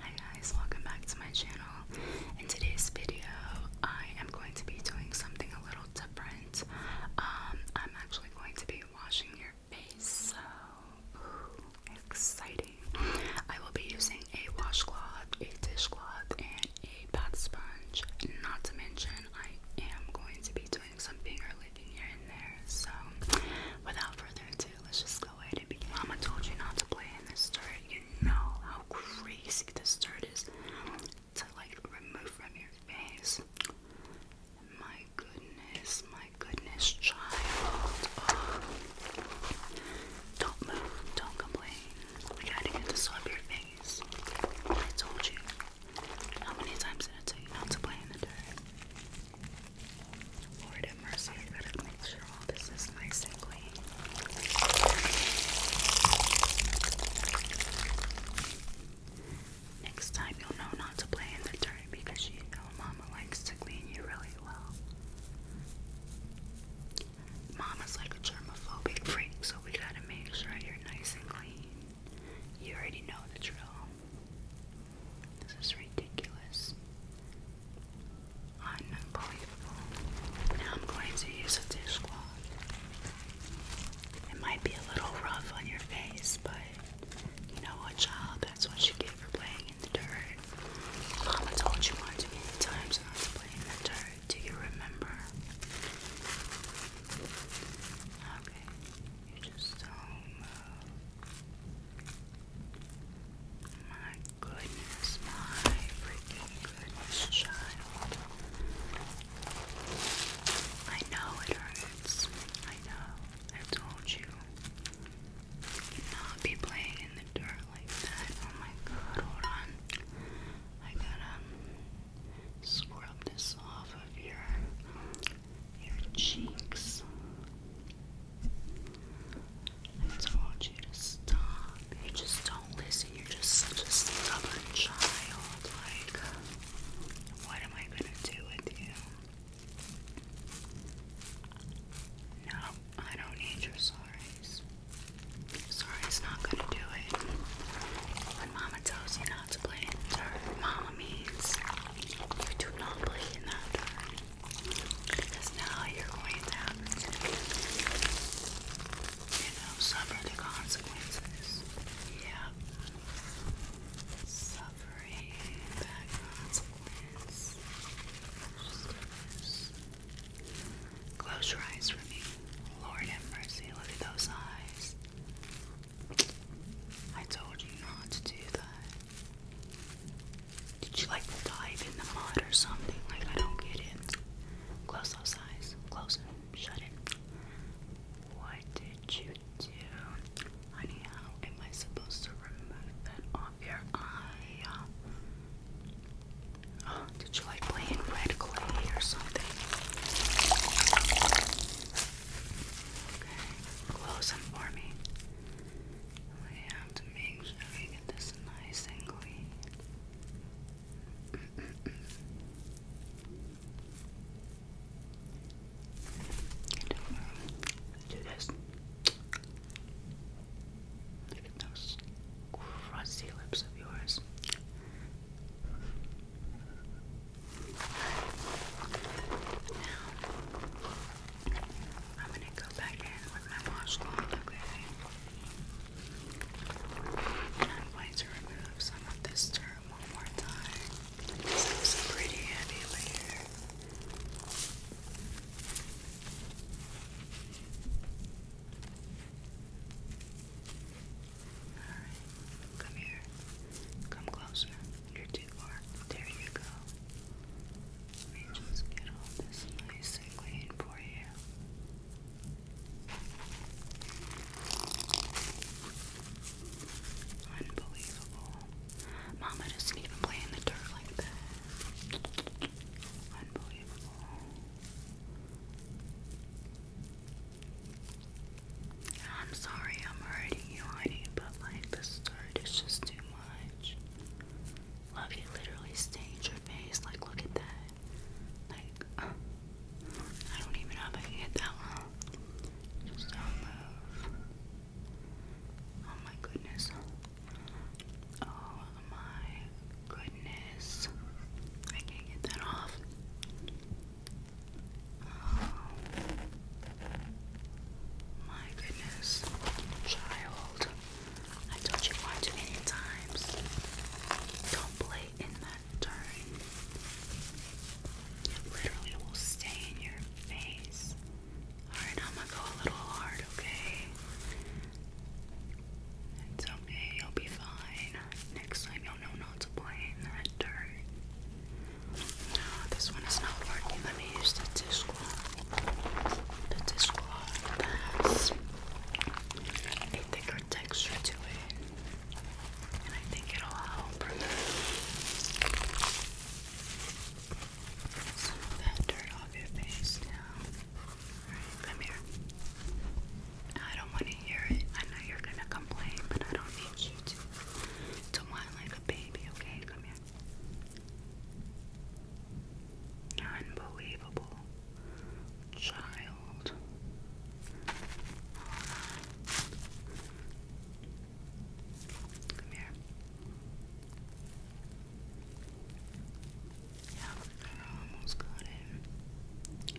Hi guys, welcome back to my channel. In today's video, I am going to be doing something a little different. Um, I'm actually going to be washing your face, so exciting. I will be using a washcloth, a dishcloth, and a bath sponge. Not to mention, I am going to be doing something finger licking here and there. So, without further ado, let's just go go Mama told you not to play in the dirt. You know how crazy the dirt is to like remove from your face. My goodness, my goodness, child. Don't move, don't complain. We gotta get this off your face. I told you. How many times did I tell you not to play in the dirt? Lord have mercy, I gotta make sure all this is nice and clean. Next time you'll know not to play in the dirt because you know Mama likes to clean you really well. Mama's like a germophobic freak, so we gotta make sure you're nice and clean. You already know the drill. This is ridiculous. Unbelievable. Now I'm going to use a dishcloth. It might be a little rough on your face, but you know what, child? That's what you get for playing in the dirt. Mama told you once many times not to play in the dirt. Do you remember? Okay, you just don't move. My goodness, my freaking goodness, child. I know it hurts. I know. I told you. you not be playing in the dirt like that. Oh my god, hold on. I gotta scrub this off of your your cheeks. I don't want you to stop. You just don't listen. You're just such a stubborn child. Like, what am I gonna do with you? No, I don't need your sorry. Sorry Sorry's not gonna do it. When Mama tells you not to play in the dirt, Mama means you do not play in that dirt. Because now you're going to have to, you know, suffer the consequences. Yep. Suffering that consequence. Close. Close your eyes for me. Lord have mercy. Look at those eyes. I told you not to do that. Did you like dive in the mud or something? Like, I don't get it. Close those eyes. Close them. Shut it. What did you do? Honey, am I supposed to remove that off your eye? Oh, did you like playing red clay or something? Okay, close them for me. We have to make sure we get this nice and clean. do this. Look at those crusty lips of yours. I'm gonna go back in with my washcloth, okay? And I'm going to remove some of this dirt one more time. This looks pretty heavy layer. Alright, come here. Come closer. You're too there you go. Let just get all this nice and clean for you. Unbelievable. Mama doesn't even play in the dirt like that. Unbelievable. I'm sorry I'm hurting you, honey, but like this dirt is just too much. Love, you literally stained your face. Like, look at that. Like, I don't even know if I can get that one. Just don't move. Oh my goodness. Oh my goodness. I can't get that off. Oh. My goodness, child. I told you one too many times. Don't play in that dirt. It literally will stain your face. Alright, I'm gonna go a little hard, okay? It's okay, you'll be fine. Next time you'll know not to play in that dirt. No, this one is not working. Let me use the tissue squab. The squab has a thicker texture to it, and I think it'll help remove some of that dirt off your face now. come here. I don't want to hear it. I know you're gonna complain, but I don't need you to to whine like a baby, okay? Come here. Unbelievable child. Come here. Yeah, I almost got it.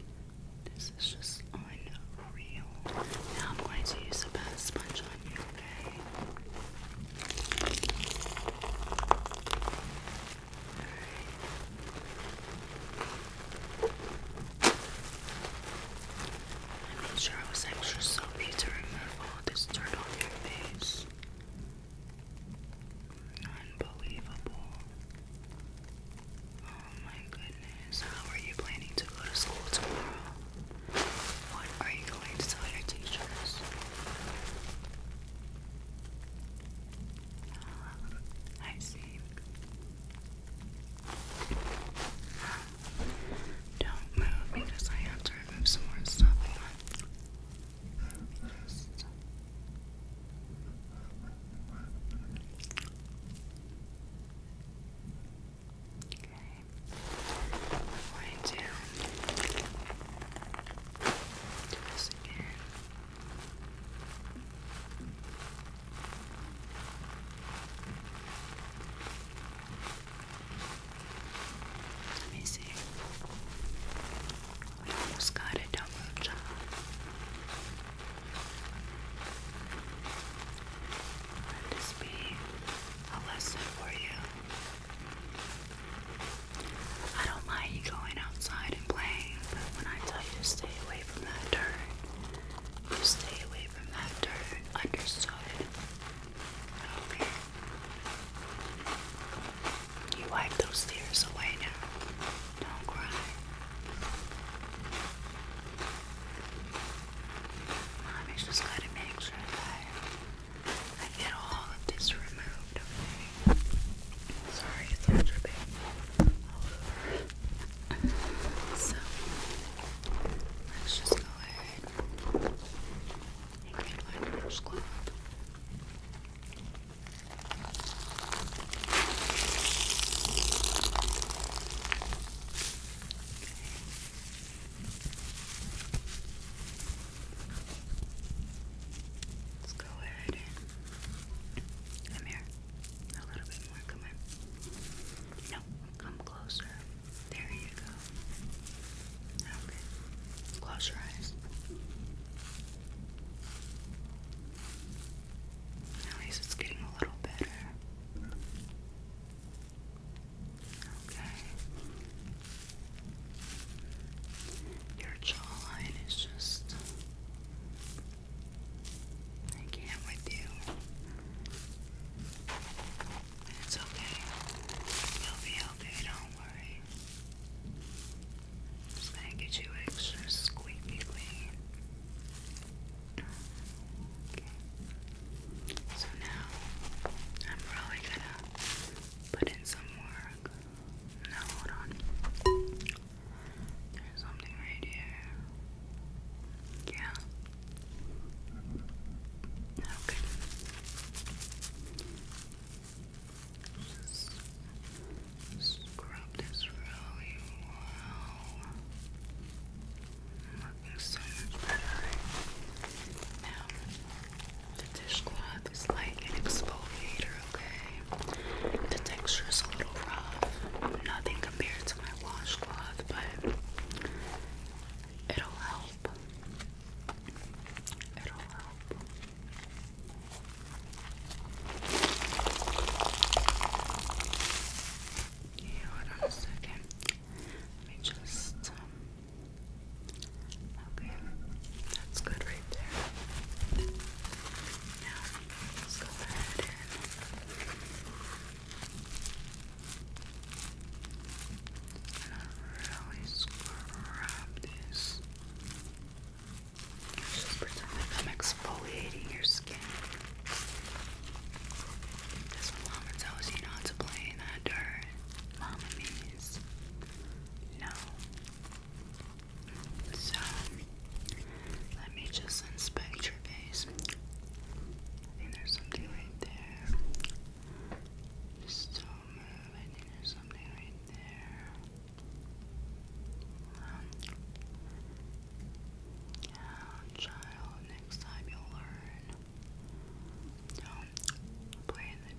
This is just unreal. Now I'm going to use the best sponge on you. I made sure I was extra soapy to remove all this dirt off your face. Unbelievable. Oh my goodness. How are you planning to go to school tomorrow? What are you going to tell your teachers? Um, I see. Don't move because I have to remove some more stuff. Okay. going to do this again. Let me see. We almost got it, don't Let this be a lesson for you. I don't mind you going outside and playing, but when I tell you to stay away from that dirt, you stay away from that dirt. Understood? You wipe those tears away now. Don't cry. Mommy's just gotta make sure that I get all of this removed, okay? Sorry, it's all so, let's just go ahead and get my Let's go ahead come here. A little bit more. Come on. No, come closer. There you go. Okay. Close your eyes. At least it's getting a little better. Okay. Your jawline is just. I can with you. It's okay. You'll be okay, don't worry. Just gonna get you extra squeaky clean. Okay. So now I'm probably gonna put in some work. No, hold on. There's something right here. Yeah. Okay. Just scrub this really well looking so much better. Now, the dishcloth is like an exfoliator, okay? The texture is a little rough, nothing compared to my washcloth, but it'll help. It'll help. Yeah, hold on a second. Let me just um, Okay, that's good right there. Now, let's go ahead and really scrub this. Just pretend I'm exfoliating your skin. This one mama tells you not to play in other No. So, let me just inspect your face. I think there's something right there. Just don't move. I think there's something right there. Um, child, next time you'll learn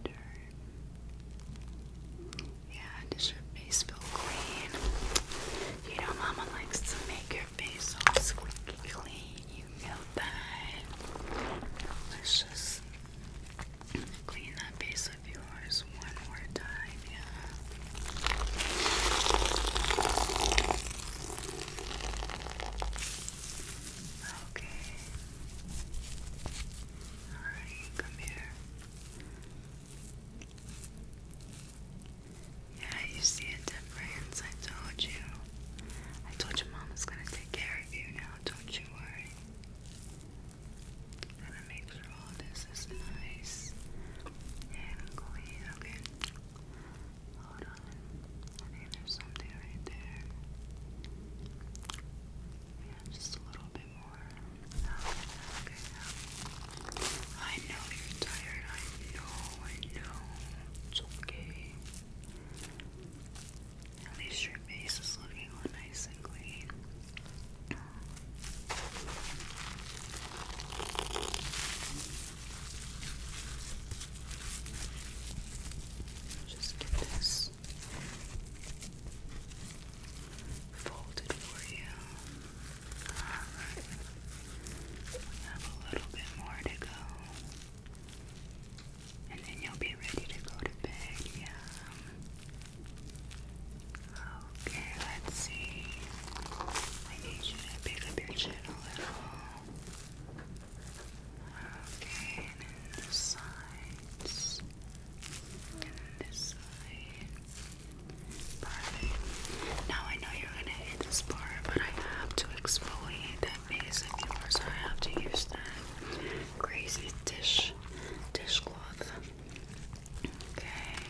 do Yeah, does your face feel clean? You know, Mama likes to make your face all squeaky clean. You know that. let clean that face of yours one more time. Yeah. Okay. Alright, come here. Yeah, you see a difference. I told you. I told you Mama's gonna take care of you now. Don't you worry. Gotta make sure all this is nice and clean. Okay. Hold on. I think there's something right there. Yeah, just a little bit more. Oh, okay, I know you're tired. I know, I know. It's okay. At least your face is looking all nice and clean. Just get this folded for you. have a little bit more to go. And then you'll be ready to go to bed, yeah. Okay, let's see. I need you to pick up your chin a little. Okay, and then the And this side. Now I know you're gonna hit this part, but I have to exfoliate that face of yours. I have to use that crazy dish dishcloth. Okay.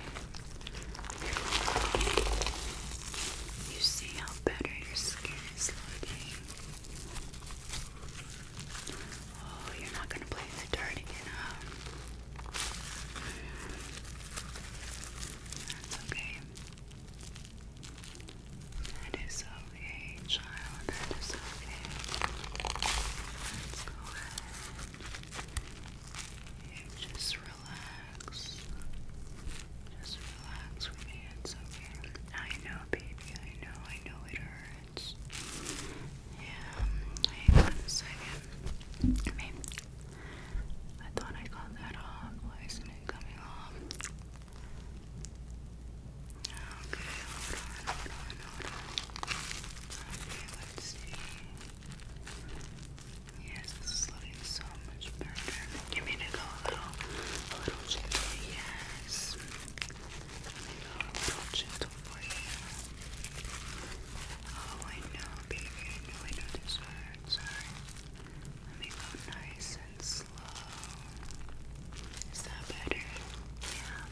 You see how better your skin is looking. Oh, you're not gonna play in the dirt again, huh? That's okay. That is okay, child. That is okay. Let's go ahead and just relax. Just relax relax with me, it's okay. I know, baby, I know, I know it hurts. Yeah, hang on a second. I mean, I thought I got that off. Why is coming off? Okay, Okay, let's see. Yes, so much better. You mean a little, a little gentle? Yes. a little gentle for you. Oh, I know, baby. I know this hurts. Sorry. Let me go nice and slow. Is that better? Yeah.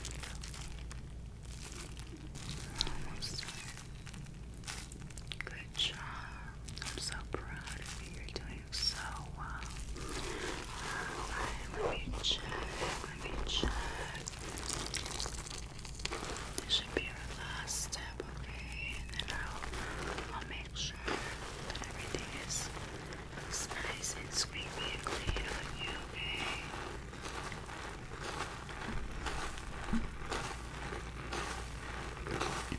Almost there. Good job. I'm so proud of you. You're doing so, uh, alright, let me check, let This should be our last step, okay? And I'll, I'll make sure that everything is, nice and squeaky clean on you, Okay.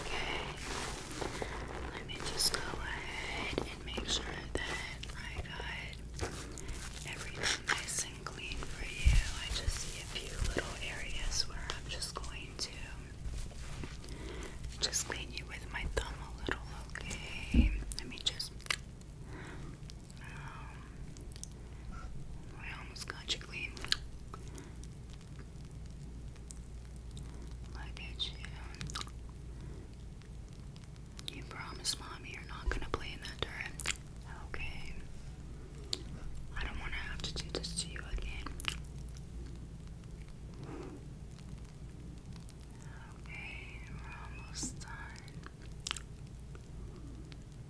Okay, let me just go ahead and make sure that I got everything nice and clean for you. I just see a few little areas where I'm just going to just clean you with my thumb a little, okay? Let me just. Um, I almost got you clean. Look at you. You promise, mommy, you're not gonna play in that dirt. Okay. I don't want to have to do this to you again. Okay, we're almost done.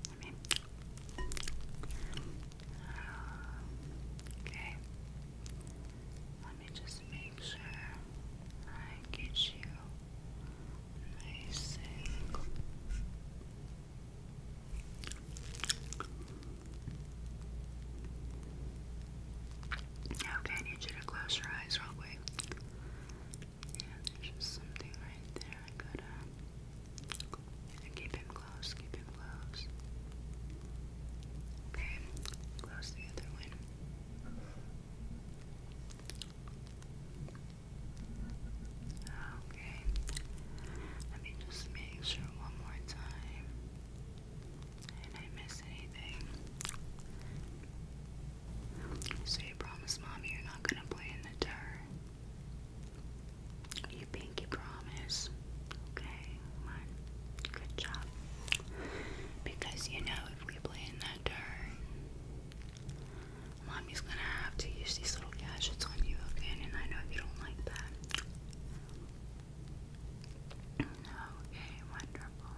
Let me okay. Let me just make sure I get you nice and Okay, I need you to close your eyes real quick. Yeah, there's just something right there I gotta keep him close, keep him close. Okay, close the other one. Okay, let me just make sure one more time. And I miss anything. So you promise mommy you're not gonna play in the dirt. You pinky promise. Okay, one. Good job. Because you know if we play in that turn, mommy's gonna have to use these little gadgets on you again, and I know you don't like that. Okay, wonderful.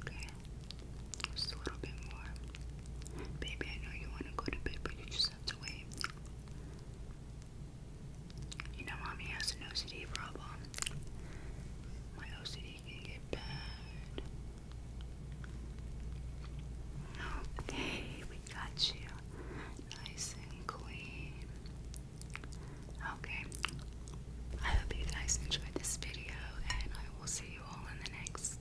Okay, just a little bit more. Baby, I know you want to go to bed, but you just you know, mommy has an OCD problem. My OCD can get bad. Okay, we got you. Nice and clean. Okay. I hope you guys enjoyed this video, and I will see you all in the next.